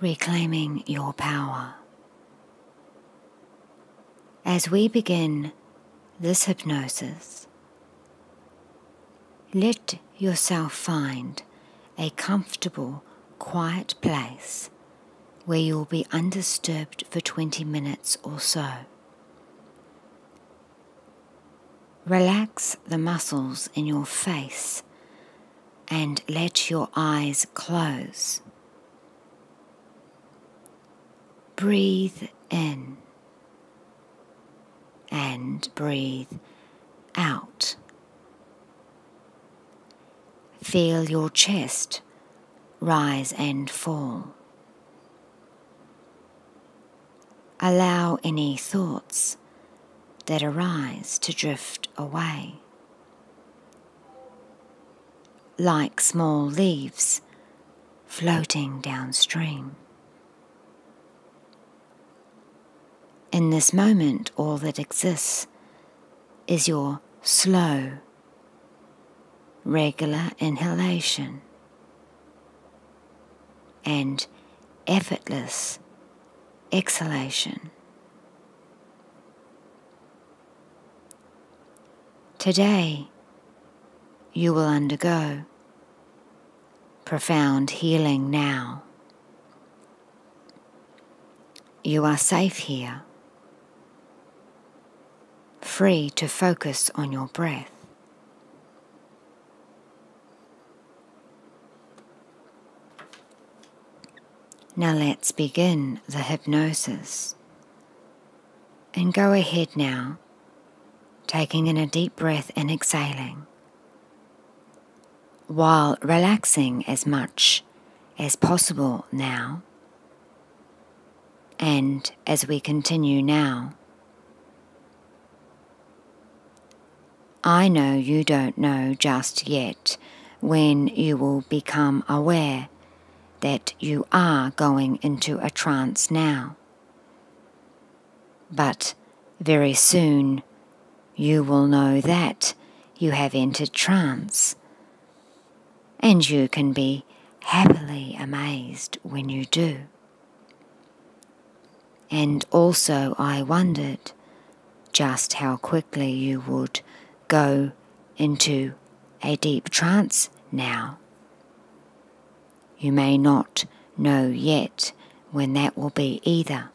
Reclaiming your power. As we begin this hypnosis, let yourself find a comfortable, quiet place where you'll be undisturbed for 20 minutes or so. Relax the muscles in your face and let your eyes close. Breathe in and breathe out. Feel your chest rise and fall. Allow any thoughts that arise to drift away. Like small leaves floating downstream. In this moment, all that exists is your slow, regular inhalation and effortless exhalation. Today, you will undergo profound healing now. You are safe here, free to focus on your breath. Now let's begin the hypnosis. And go ahead now, taking in a deep breath and exhaling, while relaxing as much as possible now. And as we continue now, I know you don't know just yet when you will become aware that you are going into a trance now. But very soon you will know that you have entered trance, and you can be happily amazed when you do. And also, I wondered just how quickly you would go into a deep trance now. You may not know yet when that will be either.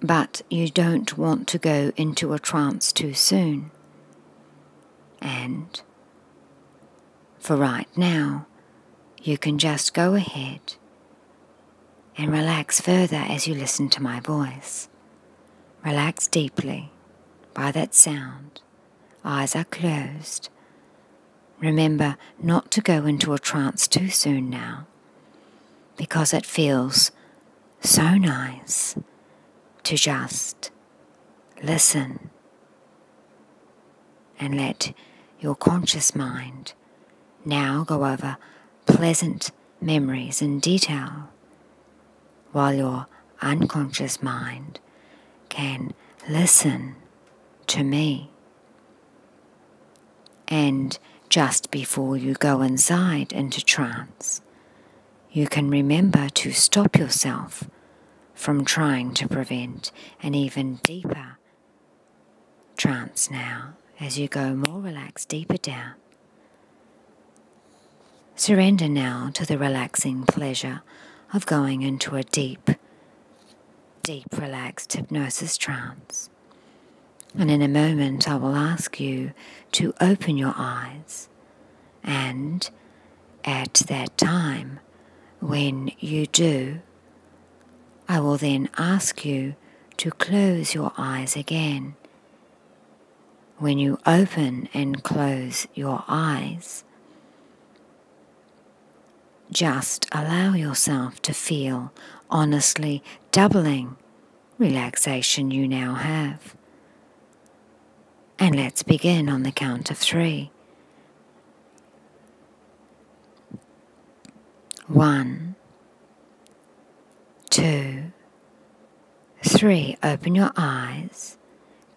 But you don't want to go into a trance too soon. And for right now, you can just go ahead and relax further as you listen to my voice. Relax deeply by that sound. Eyes are closed. Remember not to go into a trance too soon now because it feels so nice to just Listen and let your conscious mind now go over pleasant memories in detail, while your unconscious mind can listen to me. And just before you go inside into trance, you can remember to stop yourself from trying to prevent an even deeper trance now as you go more relaxed deeper down. Surrender now to the relaxing pleasure of going into a deep, deep relaxed hypnosis trance. And in a moment, I will ask you to open your eyes and at that time, when you do, I will then ask you to close your eyes again. When you open and close your eyes, just allow yourself to feel honestly doubling relaxation you now have. And let's begin on the count of three. One, two, three. Open your eyes,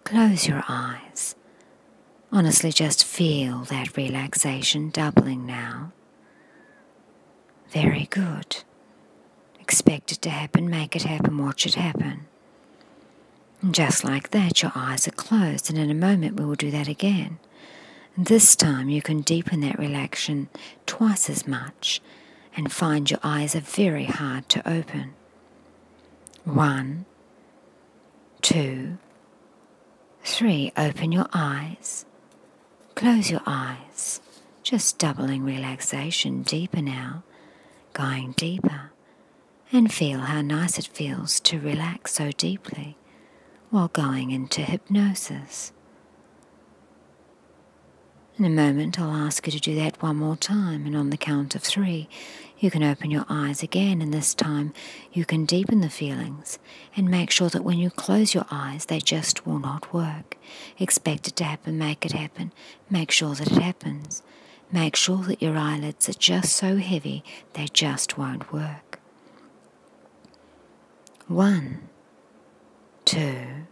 close your eyes. Honestly, just feel that relaxation doubling now. Very good. Expect it to happen, make it happen, watch it happen. And just like that, your eyes are closed, and in a moment we will do that again. this time you can deepen that relaxation twice as much and find your eyes are very hard to open. One, two, three, open your eyes. Close your eyes, just doubling relaxation deeper now, going deeper, and feel how nice it feels to relax so deeply while going into hypnosis. In a moment, I'll ask you to do that one more time, and on the count of three, you can open your eyes again, and this time you can deepen the feelings and make sure that when you close your eyes, they just will not work. Expect it to happen, make it happen, make sure that it happens. Make sure that your eyelids are just so heavy they just won't work. One, two,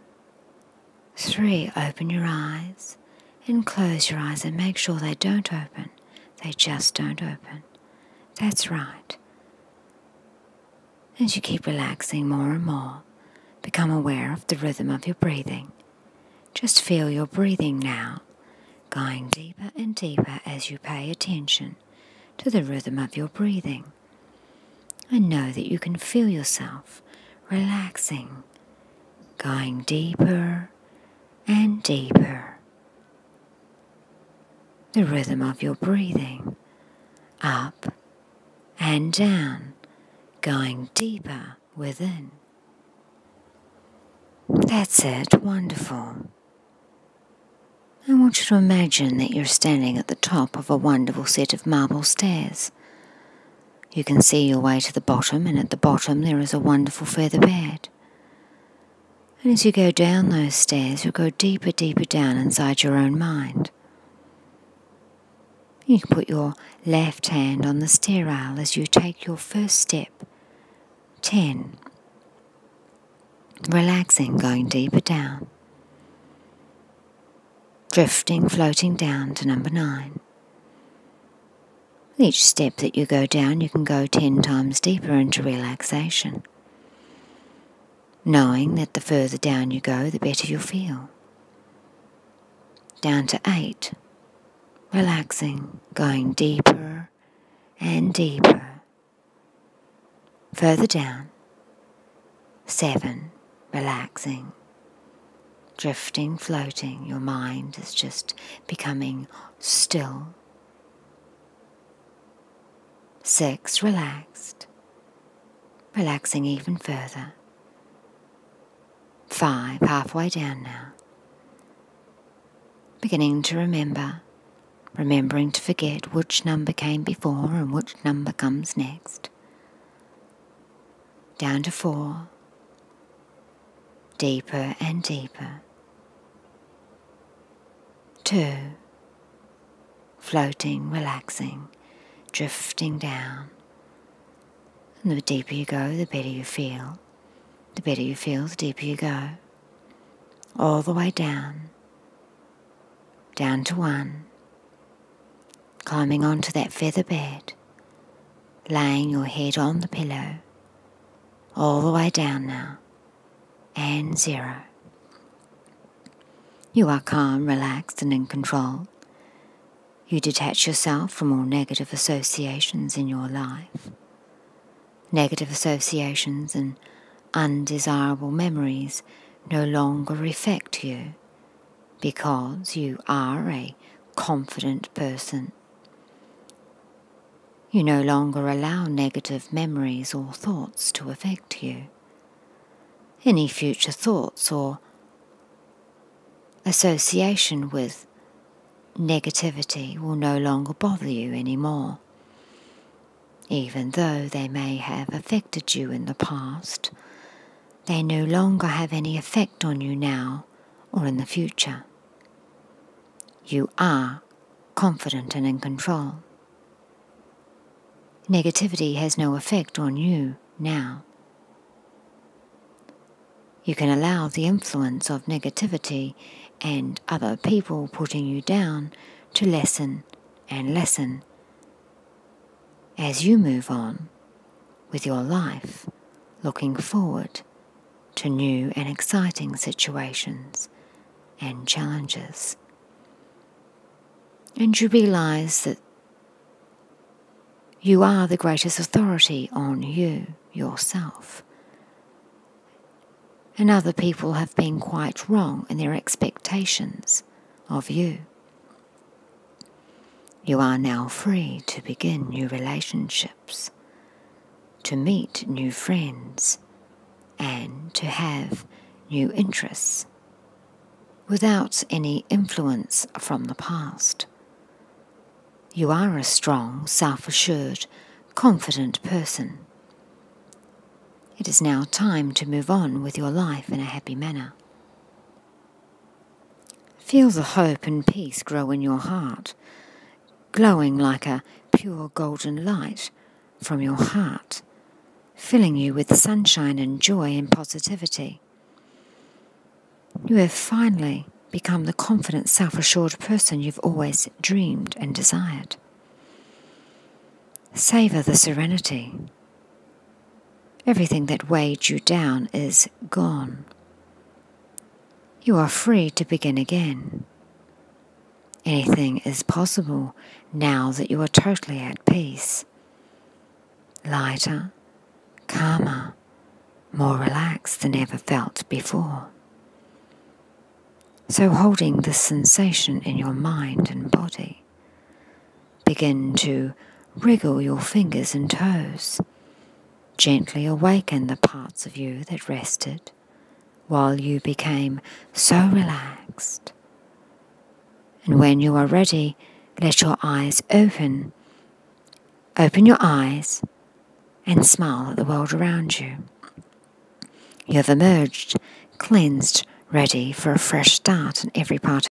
three. Open your eyes and close your eyes and make sure they don't open. They just don't open. That's right. As you keep relaxing more and more, become aware of the rhythm of your breathing. Just feel your breathing now, going deeper and deeper as you pay attention to the rhythm of your breathing. And know that you can feel yourself relaxing, going deeper and deeper the rhythm of your breathing up and down, going deeper within. That's it, wonderful. I want you to imagine that you're standing at the top of a wonderful set of marble stairs. You can see your way to the bottom, and at the bottom there is a wonderful feather bed. And as you go down those stairs, you go deeper, deeper down inside your own mind. You can put your left hand on the stair rail as you take your first step. 10. Relaxing, going deeper down. Drifting, floating down to number 9. Each step that you go down, you can go 10 times deeper into relaxation knowing that the further down you go, the better you'll feel. Down to eight, relaxing, going deeper and deeper. Further down, seven, relaxing, drifting, floating. Your mind is just becoming still. Six, relaxed, relaxing even further. Five, halfway down now. Beginning to remember, remembering to forget which number came before and which number comes next. Down to four, deeper and deeper. Two, floating, relaxing, drifting down. And the deeper you go, the better you feel. The better you feel, the deeper you go. All the way down. Down to one. Climbing onto that feather bed. Laying your head on the pillow all the way down now, and zero. You are calm, relaxed, and in control. You detach yourself from all negative associations in your life. Negative associations and undesirable memories no longer affect you because you are a confident person you no longer allow negative memories or thoughts to affect you. Any future thoughts or association with negativity will no longer bother you anymore, even though they may have affected you in the past. They no longer have any effect on you now or in the future. You are confident and in control. Negativity has no effect on you now. You can allow the influence of negativity and other people putting you down to lessen and lessen as you move on with your life, looking forward to new and exciting situations and challenges. And you realize that you are the greatest authority on you, yourself. And other people have been quite wrong in their expectations of you. You are now free to begin new relationships to meet new friends, and to have new interests without any influence from the past. You are a strong, self assured, confident person. It is now time to move on with your life in a happy manner. Feel the hope and peace grow in your heart, glowing like a pure golden light from your heart, filling you with sunshine and joy and positivity. You have finally become the confident, self assured person you've always dreamed and desired. Savor the serenity. Everything that weighed you down is gone. You are free to begin again. Anything is possible now that you are totally at peace. Lighter, calmer, more relaxed than ever felt before. So, holding this sensation in your mind and body, Begin to wriggle your fingers and toes. Gently awaken the parts of you that rested while you became so relaxed. And when you are ready, let your eyes open. Open your eyes and smile at the world around you. You have emerged, cleansed, ready for a fresh start in every part.